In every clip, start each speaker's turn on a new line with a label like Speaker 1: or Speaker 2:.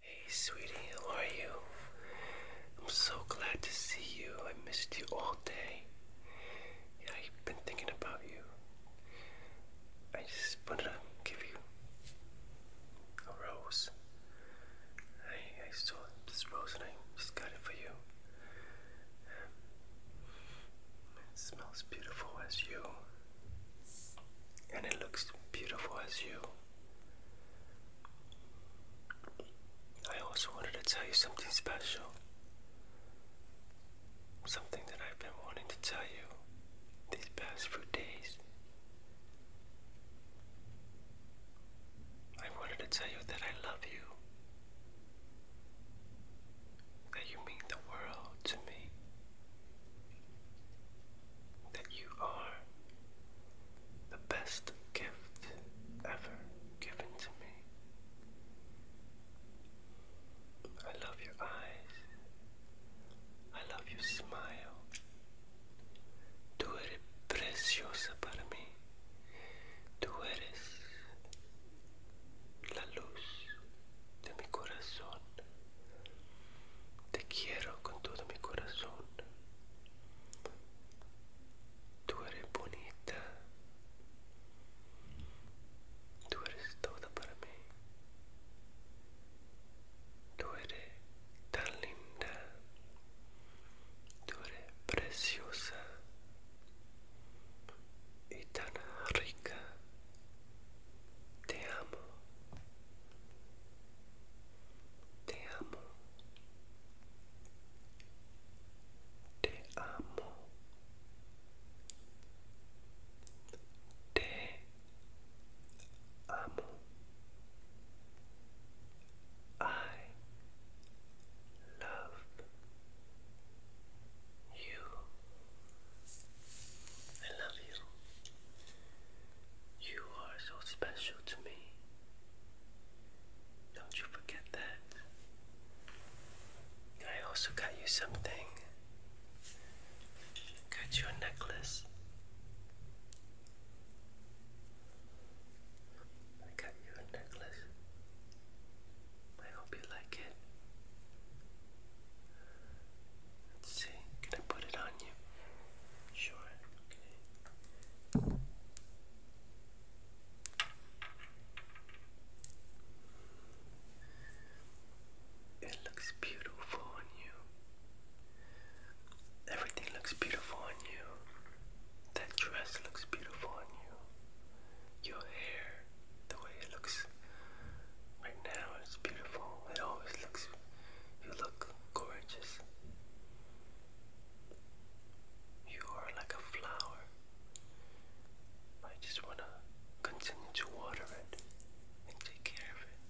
Speaker 1: Hey, sweetie, how are you? I'm so glad to see you. I missed you all day. I've been thinking about you. I just wanted to give you a rose. I, I saw this rose and I just got it for you. It smells beautiful as you, and it looks beautiful as you. I also wanted to tell you something special. Something that I've been wanting to tell you these past few days. I wanted to tell you that I love you that you mean the world to me, that you are the best gift ever given to me. I love your eyes. I love your smile. Tú eres preciosa para mí. Tú eres la luz de mi corazón. Te quiero con todo mi corazón. Tú eres bonita. Tú eres toda para mí. Tú eres tan linda. Tú eres preciosa. e tan rica. Te amo. Te amo. Te amo. Te amo. I love you. I love you. You are so special to me. Don't you forget that. I also got you something. Got you a necklace. got you a necklace. I hope you like it. Let's see, can I put it on you? Sure, okay. It looks beautiful on you. Everything looks beautiful on you. That dress looks beautiful on you. Your hair the way it looks right now. It's beautiful. It always looks, you look gorgeous. You are like a flower. I just want to continue to water it and take care of it.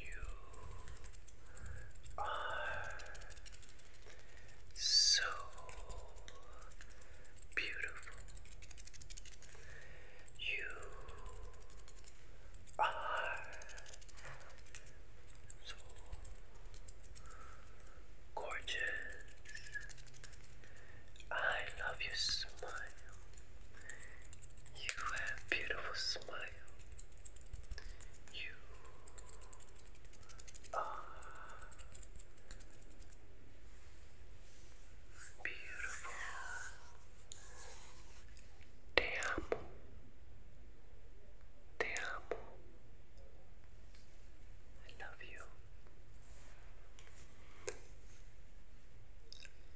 Speaker 1: You are so beautiful. You are so gorgeous. I love your smile. You have beautiful smile. You uh, beautiful. Te amo. Te amo. I love you.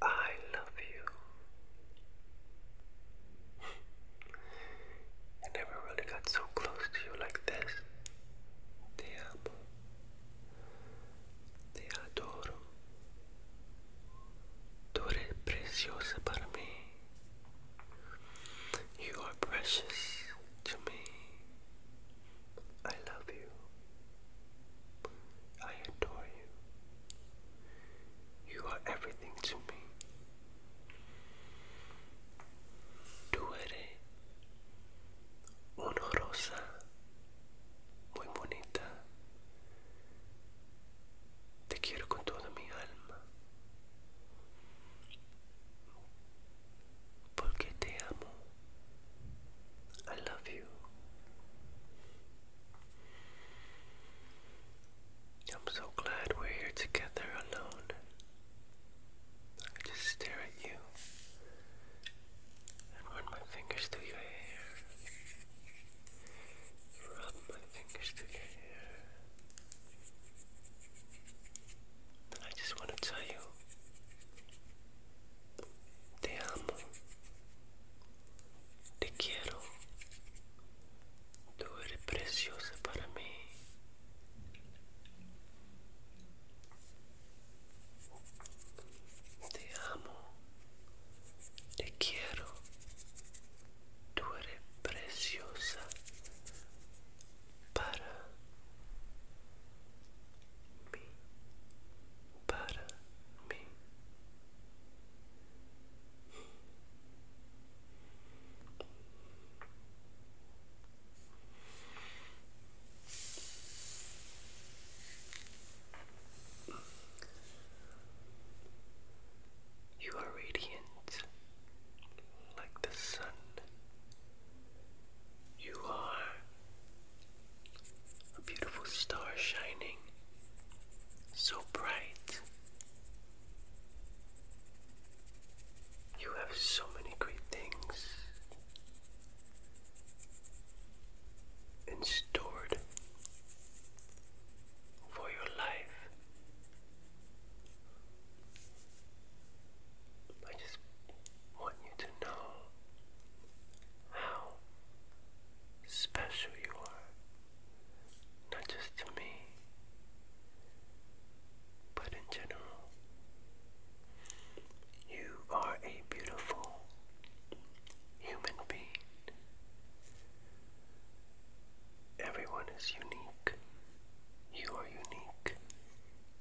Speaker 1: I love you. I never really got so close to you like this. Te amo. Te adoro. Tú eres preciosa para mí. You are precious to me. I love you. I adore you. You are everything to me. Tú eres una rosa muy bonita. Te quiero con toda mi alma. Porque te amo. I love you. I'm so glad we're here together alone. I just stare at you and run my fingers through your hair. Rub my fingers through your hair. I just want to tell you, te amo, te quiero. Tú eres preciosa para mí. Te amo, te quiero, tú eres preciosa para mí, para mí. You are radiant like the sun. You are a beautiful star shining so bright you have so many great things and stored for your life. I just want you to know how special you are not just to me, but in general. You are a beautiful human being. Everyone is unique. You are unique.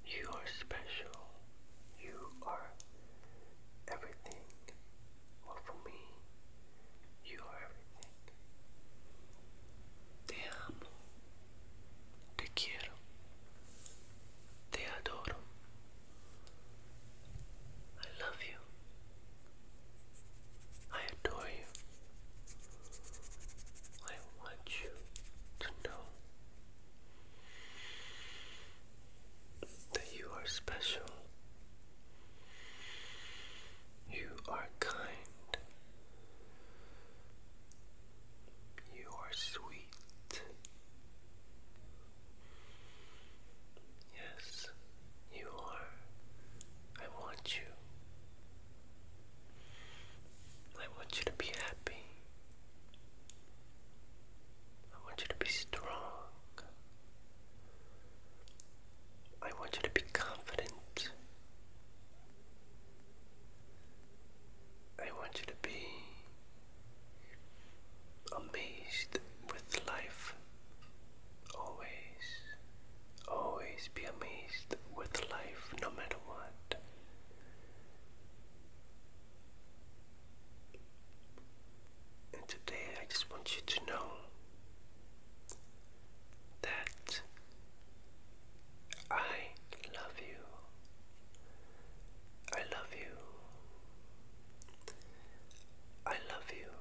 Speaker 1: You are special. You are everything. Well, for me, you are everything. Te amo. Te quiero. Te adoro. I love you. I adore you. I want you to know that you are special you are kind. You are sweet. Yes, you are. I want you. I want you to be happy. I want you to be strong. I want you to be confident. I want you to be amazed with life. Always, always be amazed with life no matter what. And today I just want you to know that I love you. I love you. I love you.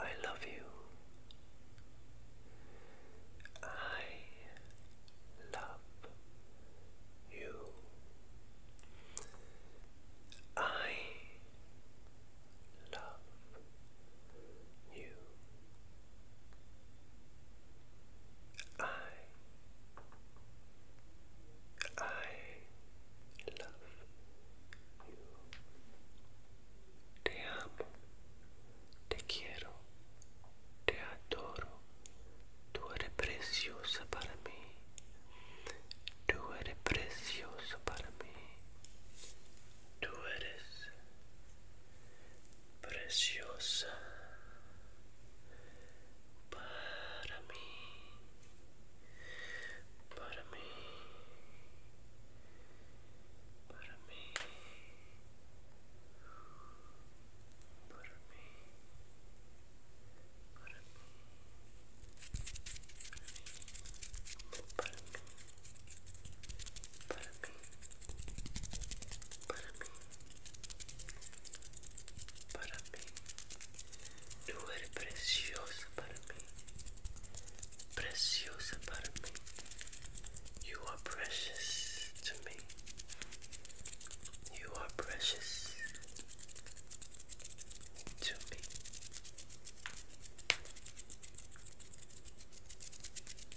Speaker 1: I love you. I love you. I love you. I I love you. Te amo. Te quiero. Te adoro. Tú eres preciosa para mí. Tú eres precioso para mí. Tú eres preciosa para mí. Para mí. Para mí. Para mí. Para mí. para mí, tú eres preciosa para mí, preciosa you are precious to me, you are precious to me.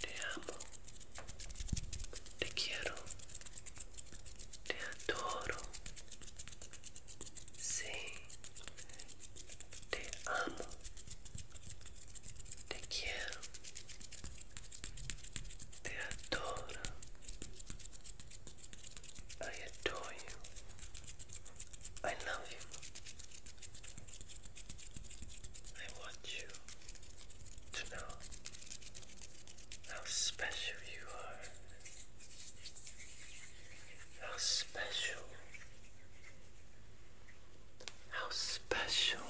Speaker 1: Te amo, te quiero, te adoro. Sí, te amo, te quiero, te adoro. I adore you. I love you. I want you to know how special you are. How special. How special.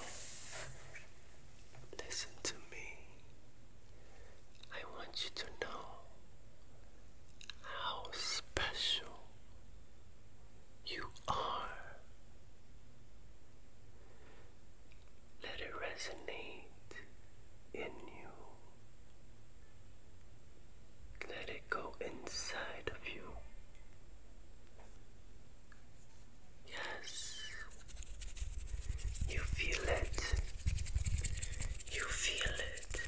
Speaker 1: Listen to me. I want you to know how special you are. Let it resonate in you. Let it go inside of you. Yes, you feel it. You feel it.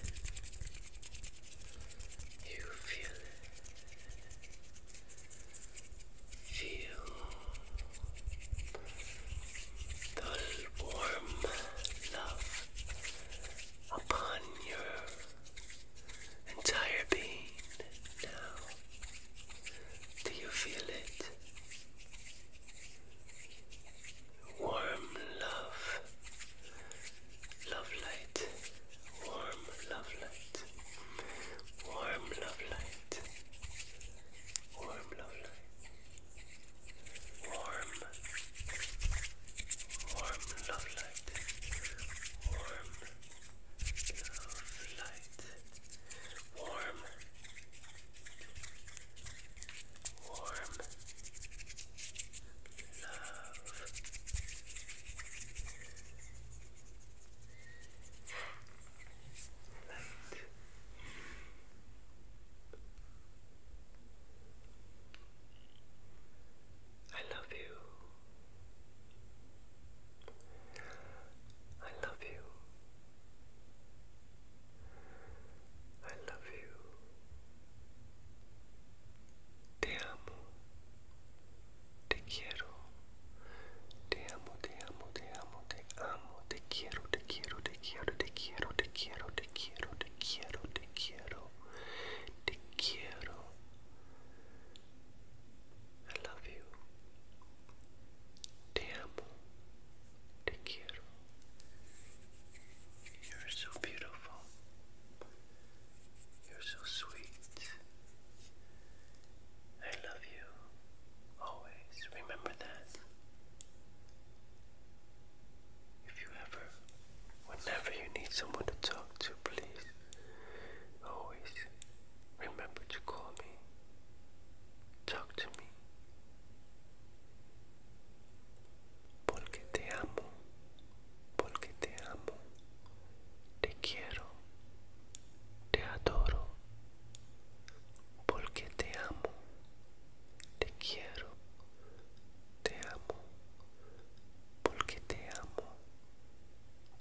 Speaker 1: You feel it. Feel the warm love upon your entire being now. Do you feel it? warm love, love light, warm love light, warm love light, warm love light, warm, warm love light, warm love light, warm warm love. Light. I love you. I love you. I love you. Te amo. Te quiero. Te amo, te amo, te amo, te amo. Te quiero, te quiero, te quiero, te quiero, te quiero, te quiero, te quiero, te quiero. I love you. Te amo. Te quiero. You're so beautiful. You're so sweet. I love you. Always remember that. If you ever, whenever you need someone to talk to, please always remember to call me. Talk Porque te amo, porque te amo, te quiero, te adoro. Porque te amo, te quiero, te amo, porque te amo,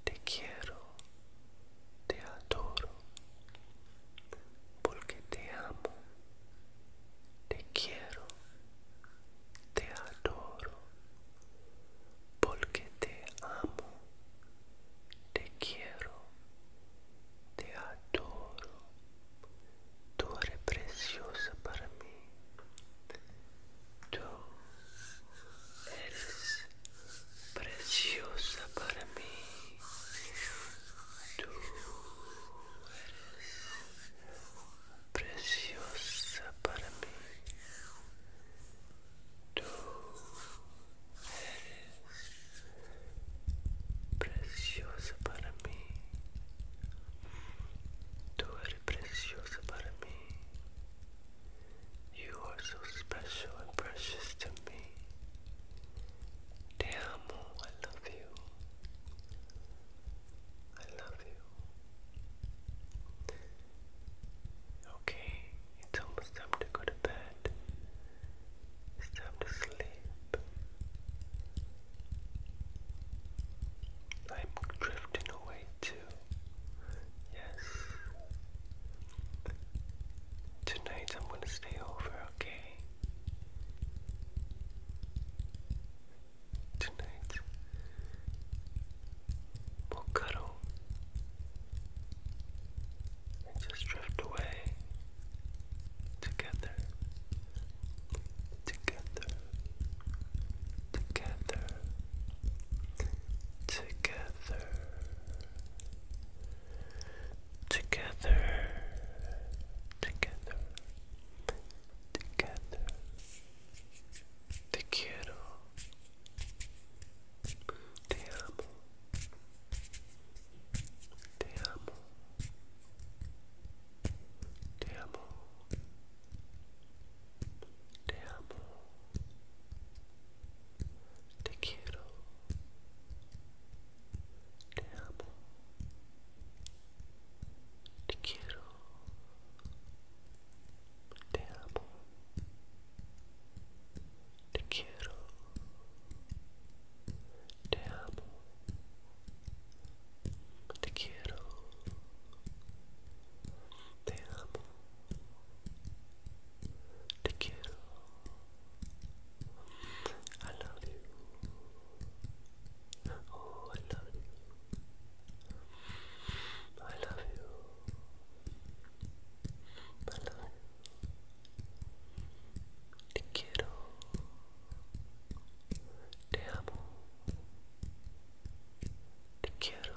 Speaker 1: te quiero. te adoro, porque te amo, te quiero, te adoro, porque te amo, te quiero, te adoro, tú eres preciosa para mí, tú eres preciosa para mí. Tú eres preciosa para mí. Tú eres preciosa para mí. Tú eres preciosa para mí. You are so special and precious to me. I love you. I love you. Okay, it's almost time to go to bed. It's time to sleep. I'm drifting away too. Yes, Tonight I'm gonna stay over, okay? Tonight we'll cuddle and just drift away together, together, together, together together, together, together. Te quiero, te amo, te amo, te amo, te amo te quiero, te amo, te quiero, te amo, te quiero, te amo, te quiero, te amo to kill. I love you. Oh, I love you. I love you. I love you. Te quiero. Te amo. Te quiero.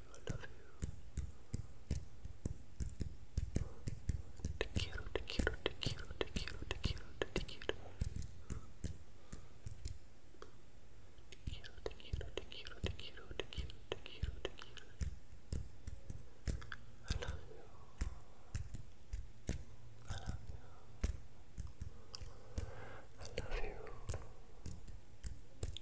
Speaker 1: I love you. Te quiero, te quiero, te quiero, te quiero, te quiero, te quiero. Te quiero, te quiero, te quiero, te quiero, te quiero, te quiero, I love you. I love you. I love you.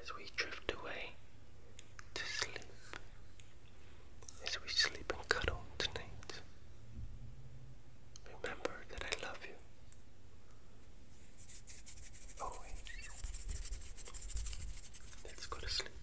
Speaker 1: as we drift away to sleep, as we sleep and cuddle tonight. Remember that I love you. Always. Let's go to sleep.